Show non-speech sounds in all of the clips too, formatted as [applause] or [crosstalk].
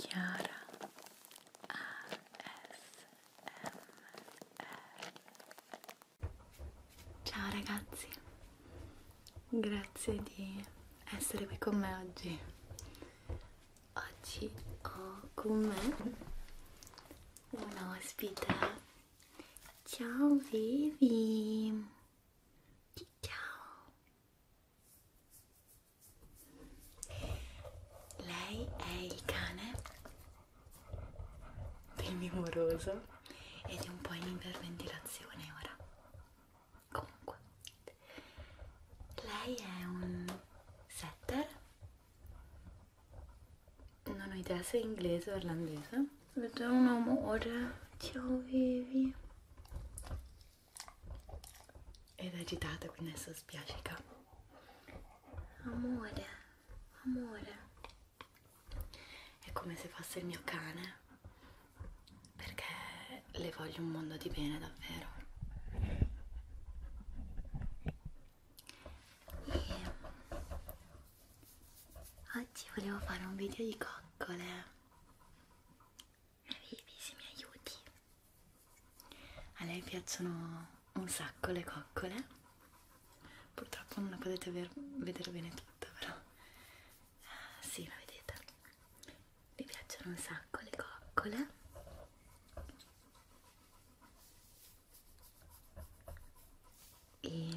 Chiara ASMR Ciao ragazzi, grazie di essere qui con me oggi. Oggi ho con me una ospite. Ciao Vivi! Ciao! Lei è il cane primoroso ed è un po' in iperventilazione ora. Comunque, lei è un setter. Non ho idea se è inglese o irlandese. Vedo un amore. Ciao, vivi ed è agitata quindi adesso spiacica amore amore è come se fosse il mio cane perché le voglio un mondo di bene davvero e oggi volevo fare un video di coccole arrivi se mi aiuti a lei piacciono un sacco le coccole purtroppo non la potete ver vedere bene tutta però ah, si sì, la vedete mi piacciono un sacco le coccole e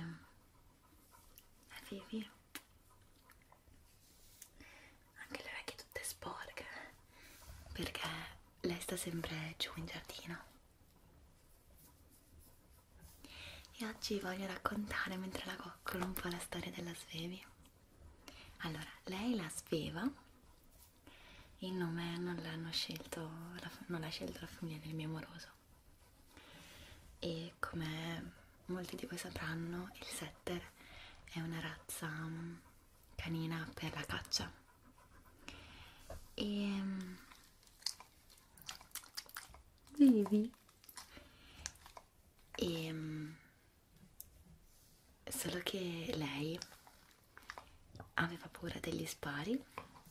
arrivi anche le orecchie tutte sporche perché lei sta sempre giù in giardino e oggi voglio raccontare mentre la coccolo un po' la storia della Svevi allora lei la Sveva il nome non l'hanno scelto non l'ha scelto la famiglia del mio amoroso e come molti di voi sapranno il setter è una razza mm, canina per la caccia e ehm, vivi e ehm, solo che lei aveva paura degli spari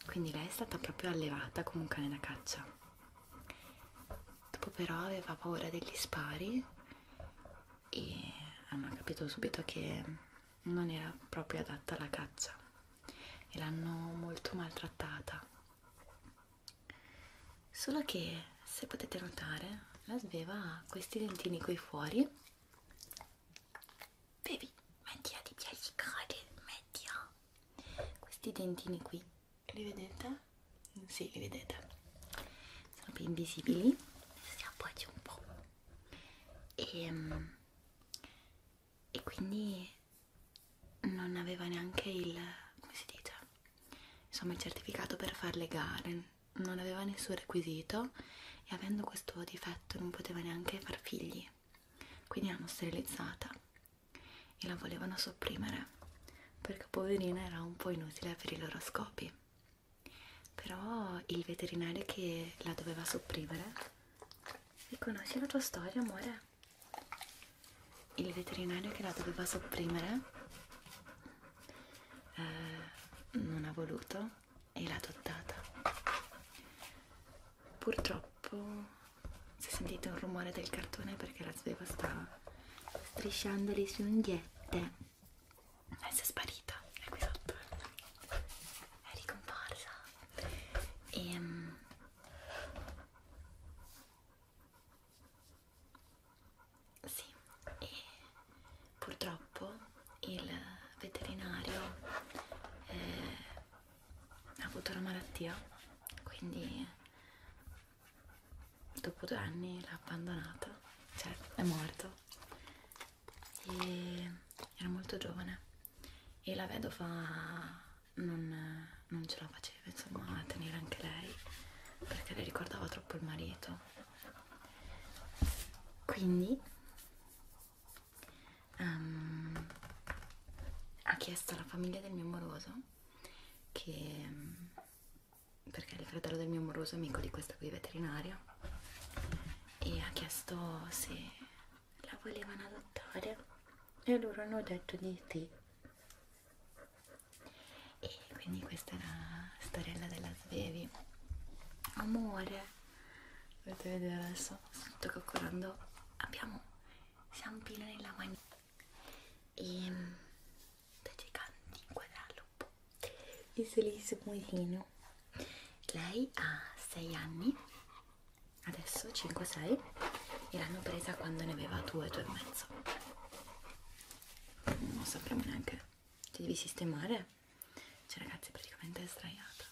quindi lei è stata proprio allevata come un cane da caccia dopo però aveva paura degli spari e hanno capito subito che non era proprio adatta alla caccia e l'hanno molto maltrattata solo che se potete notare la sveva ha questi dentini qui fuori bevi metti di piacere metti questi dentini qui li vedete? Sì, li vedete, sono più invisibili. Si appoggi un po'. E, ehm, e quindi non aveva neanche il come si dice? Insomma, il certificato per far le gare, non aveva nessun requisito e avendo questo difetto non poteva neanche far figli. Quindi l'hanno sterilizzata e la volevano sopprimere perché poverina era un po' inutile per i loro scopi. Però il veterinario che la doveva sopprimere riconosce la tua storia, amore. Il veterinario che la doveva sopprimere eh, non ha voluto e l'ha adottata. Purtroppo se sentite un rumore del cartone perché la sveva stava strisciando le sue unghiette e eh, si è sparita è qui sotto è ricomparsa e um, sì e purtroppo il veterinario eh, ha avuto una malattia quindi dopo due anni l'ha abbandonata, cioè è morto e era molto giovane e la vedova non, non ce la faceva insomma a tenere anche lei perché le ricordava troppo il marito quindi um, ha chiesto alla famiglia del mio moroso che perché è il fratello del mio amoroso amico di questa qui veterinaria e ha chiesto se la volevano adottare e loro hanno detto di sì e quindi questa è la storella della Svevi amore potete vedere adesso sto coccolando abbiamo siamo pieni nella magnifica e sto mm, cercando di inquadrarlo un po' il felice muesino lei ha 6 anni adesso 5-6 e l'hanno presa quando ne aveva 2-2 e mezzo non sappiamo neanche ti devi sistemare cioè ragazzi praticamente è sdraiata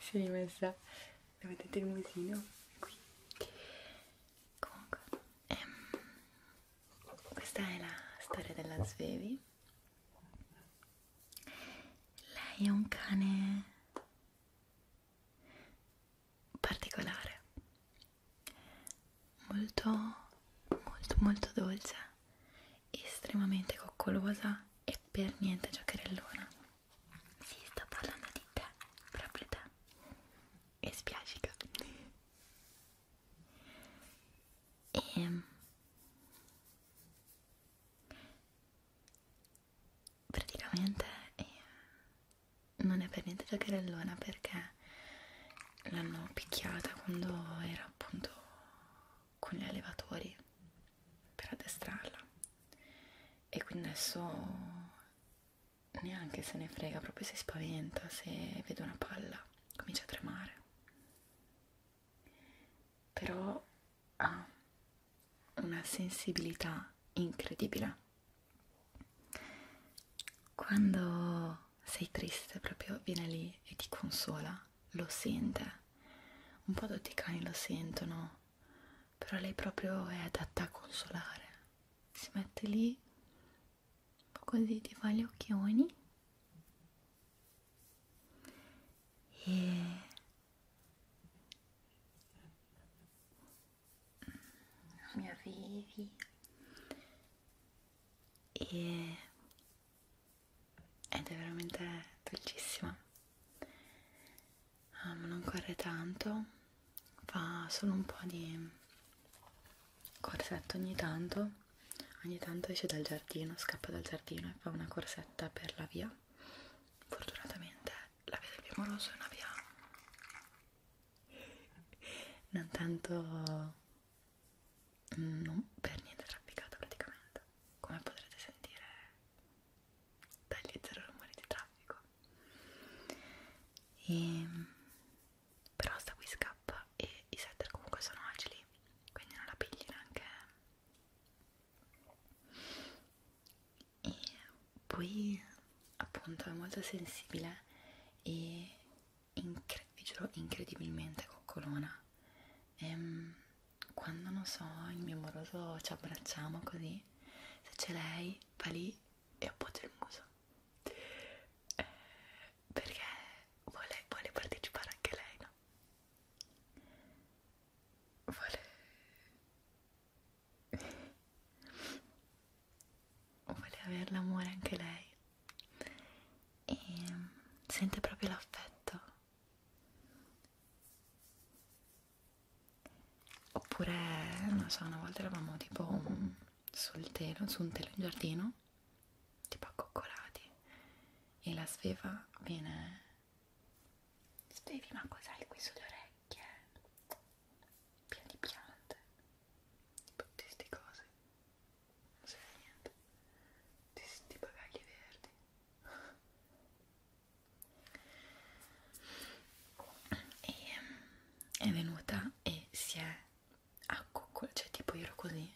si [laughs] è rimessa la vedete il musino qui comunque ehm, questa è la storia della Svevi lei è un cane particolare molto molto molto dolce estremamente coccolosa e per niente giocherellona. Si sta parlando di te, proprio te. E spiacica. E ehm. praticamente eh, non è per niente giocherellona perché l'hanno picchiata quando era appunto con gli allevatori per addestrarla e quindi adesso neanche se ne frega, proprio si spaventa se vede una palla, comincia a tremare. Però ha una sensibilità incredibile. Quando sei triste proprio viene lì e ti consola, lo sente un po' tutti i cani lo sentono, però lei proprio è adatta a consolare. Si mette lì, un po' così ti fa gli occhioni e mi arrivi e ed è veramente dolcissima um, non corre tanto fa solo un po' di corsetto ogni tanto ogni tanto esce dal giardino scappa dal giardino e fa una corsetta per la via fortunatamente la via del Moroso è una via non tanto Mm, non per niente trafficata praticamente come potrete sentire dagli zero rumori di traffico e, ehm, però sta qui scappa e i setter comunque sono agili quindi non la pigli neanche e poi appunto è molto sensibile e incre vi giuro incredibilmente coccolona ehm, quando non so il mio amoroso ci abbracciamo così se c'è lei va lì e appoggia il muso eh, perché vuole, vuole partecipare anche lei no? vuole [laughs] vuole avere l'amore anche lei e mm, sente proprio l'affetto oppure non so una volta eravamo tipo sul telo su un telo in giardino tipo accoccolati e la sveva viene svevi ma cos'hai qui sulle orecchie pieni piante tutte queste cose non serve a niente ti senti bagagli verdi e ehm, è venuta e si è accoccolata cioè tipo io ero così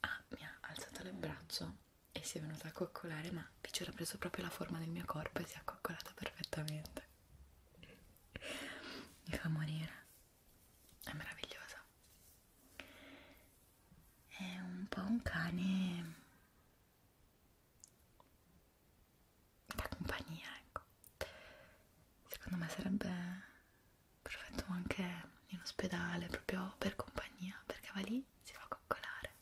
ah, mi ha alzato il braccio e si è venuta a coccolare ma vi c'era preso proprio la forma del mio corpo e si è accoccolata perfettamente mi fa morire è meravigliosa è un po' un cane da compagnia ecco secondo me sarebbe perfetto anche in ospedale proprio per compagnia perché va lì si fa coccolare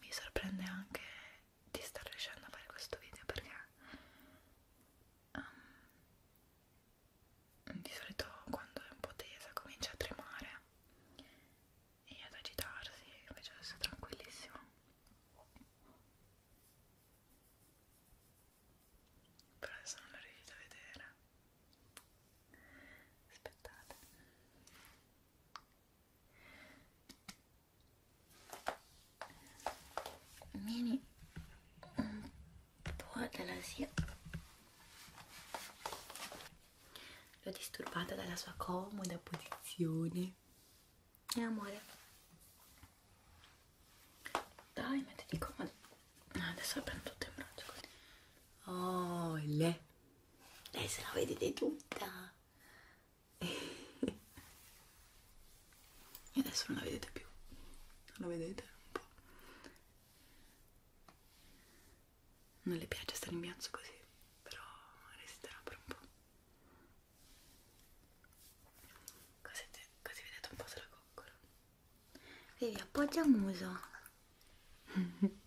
mi sorprende anche di star riuscendo a fare questo video perché um, di solito quando è un po' tesa comincia a tremare e ad agitarsi, invece adesso è tranquillissimo. Però adesso non la riuscite a vedere. Aspettate vieni un po' dalla zia l'ho disturbata dalla sua comoda posizione e amore dai mettiti comodo ah, adesso la prendo tutto in braccio così oh le lei se la vedete tutta e adesso non la vedete più non la vedete un po' non le piace stare in bianco così però resterà per un po' così, così vedete un po' se la coccola vedi appoggia il muso [laughs]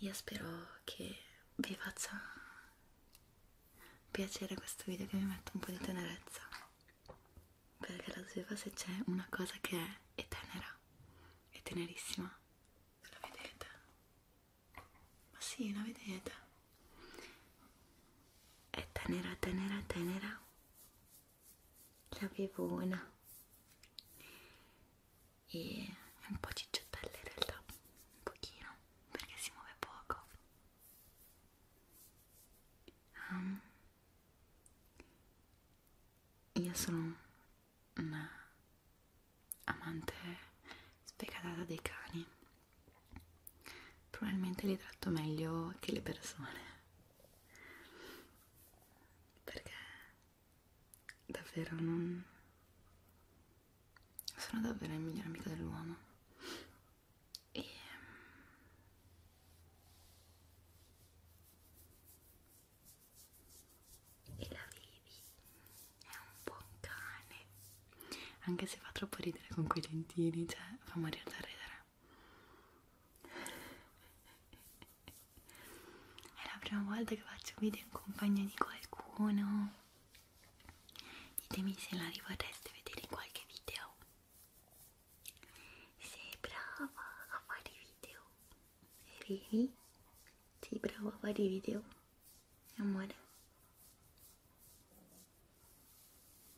Io spero che vi faccia piacere questo video che vi mette un po' di tenerezza perché la sveva se c'è una cosa che è, è tenera, è tenerissima. La vedete? Ma sì, la vedete? È tenera, tenera, tenera l'avevo una e è un po' cicciottella in realtà un pochino perché si muove poco um, io sono una amante specatata dei cani probabilmente li tratto meglio che le persone perché davvero non sono davvero il migliore amico dell'uomo e ehm, e la vivi è un buon cane anche se fa troppo ridere con quei dentini cioè fa morire da ridere è la prima volta che faccio video in compagnia di qualcuno. Ditemi se la rivorreste vedere in qualche video. Sei brava a fare video. Vedi? Sei brava a fare video. Amore.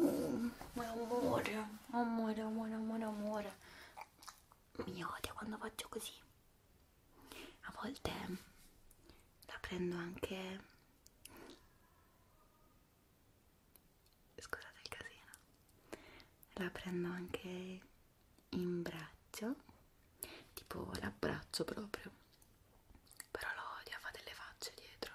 Mm, amore, amore, amore, amore, amore. Mi odia quando faccio così. A volte la prendo anche... Scusate il casino. La prendo anche in braccio. Tipo l'abbraccio proprio. Però lo odia, fa delle facce dietro.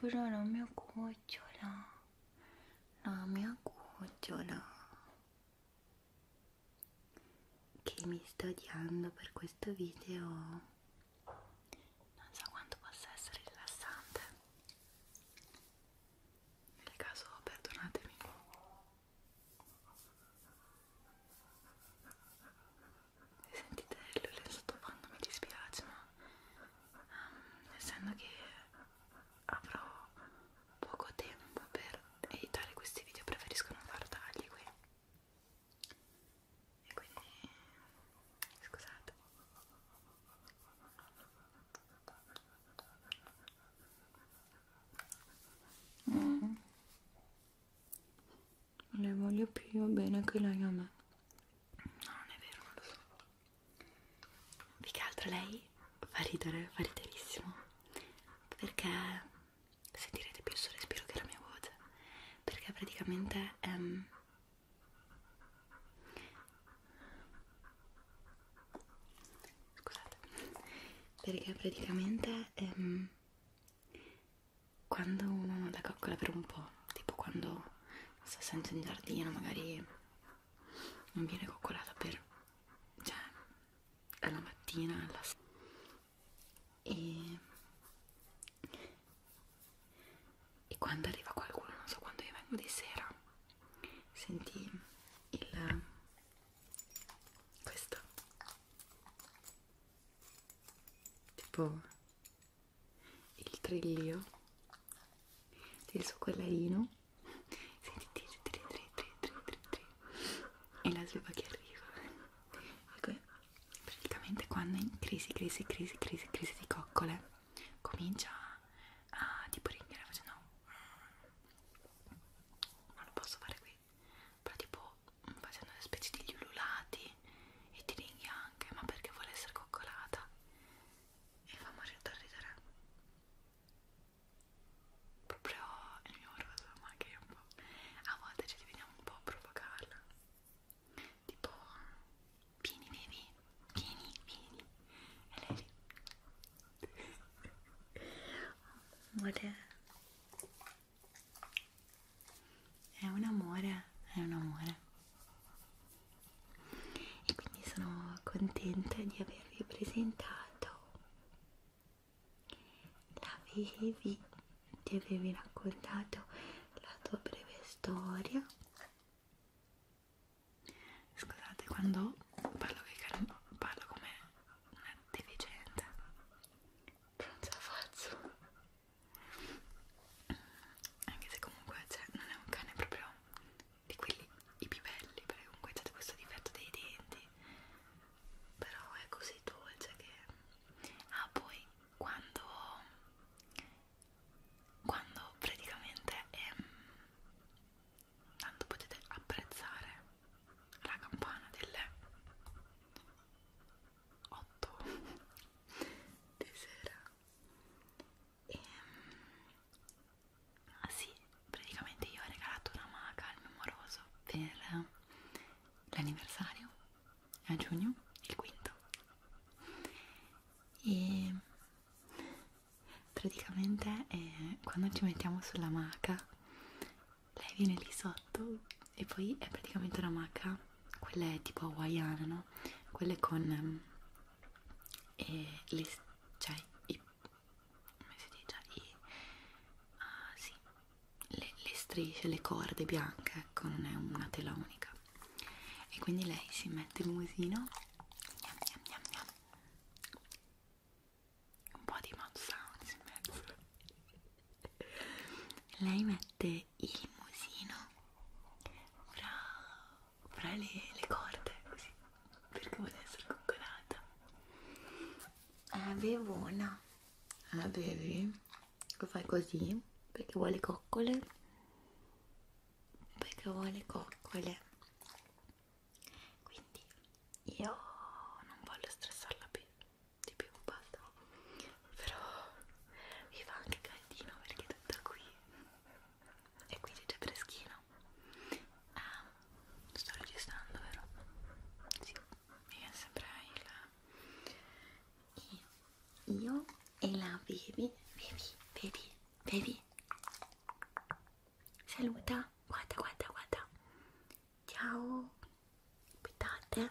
Però la mia cucciola, la mia cucciola che mi sta odiando per questo video non so quanto possa essere rilassante nel caso perdonatemi se sentite l'olio sottofondo mi dispiace, ma um, essendo che avrò poco tempo per editare questi video preferisco non far tagli qui. E quindi scusate. Mm. Non le voglio più bene che lei a me. No, non è vero, non lo so. Più che altro lei fa ridere, fa riderissimo. Perché sentirete più il suo respiro che la mia voce. Perché praticamente ehm, scusate perché praticamente ehm, quando uno non la coccola per un po' tipo quando sta sempre in giardino magari non viene coccolata per cioè alla mattina alla sera e, e quando arriva qualcuno non so quando io vengo di sera senti il questo tipo il trillio del suo collarino senti tri tri tri tri tri tri tri e la sliva che arriva praticamente quando è in crisi crisi crisi crisi crisi di coccole comincia uh, tipo ringhiera facendo mm. non lo posso fare qui però tipo facendo delle specie degli ululati e ti ringhia anche ma perché vuole essere coccolata e fa morire da ridere proprio il mio orso ma che un po' a volte ci vediamo un po' a provocarla tipo Pini, vieni vieni, vieni. E lei Amore. È un amore, è un amore. E quindi sono contenta di avervi presentato la Vivi, ti avevi raccontato la tua breve storia Scusate, quando parlo, che parlo come una deficiente, non ce la faccio. Anche se comunque cioè, non è un cane proprio di quelli i più belli, perché comunque c'è questo difetto dei denti. Però è così dolce che... Ah, poi quando quando praticamente ehm, tanto potete apprezzare la campana delle 8 [laughs] di sera e ehm, ah sì, praticamente io ho regalato una maga al mio amoroso per l'anniversario a giugno, il quinto e praticamente eh, quando ci mettiamo sulla maca lei viene lì sotto e poi è praticamente una maca quella è tipo hawaiana no? quelle con eh, le, cioè i, come si dice? I, uh, sì, le, le strisce, le corde bianche ecco non è una tela unica e quindi lei si mette il musino miam, miam, miam, miam. un po' di mouth sounds in mezzo lei mette il musino fra, fra le, le corde così perché vuole essere coccolata avevo una avevi lo fai così perché vuole coccole perché ho le coccole quindi io non voglio stressarla più di più basta però mi fa anche caldino perché è tutta qui e quindi c'è freschino ah, sto registrando vero? Sì, mi viene sempre il, il io e la bevi, bevi, bevi, bevi. Saluta, guarda, guarda, guarda. Ciao, aspettate.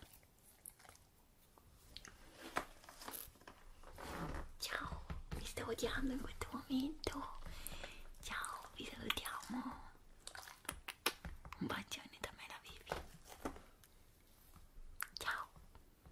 Ciao, vi sto odiando in questo momento. Ciao, vi salutiamo. Un bacione da me la bevi. Ciao,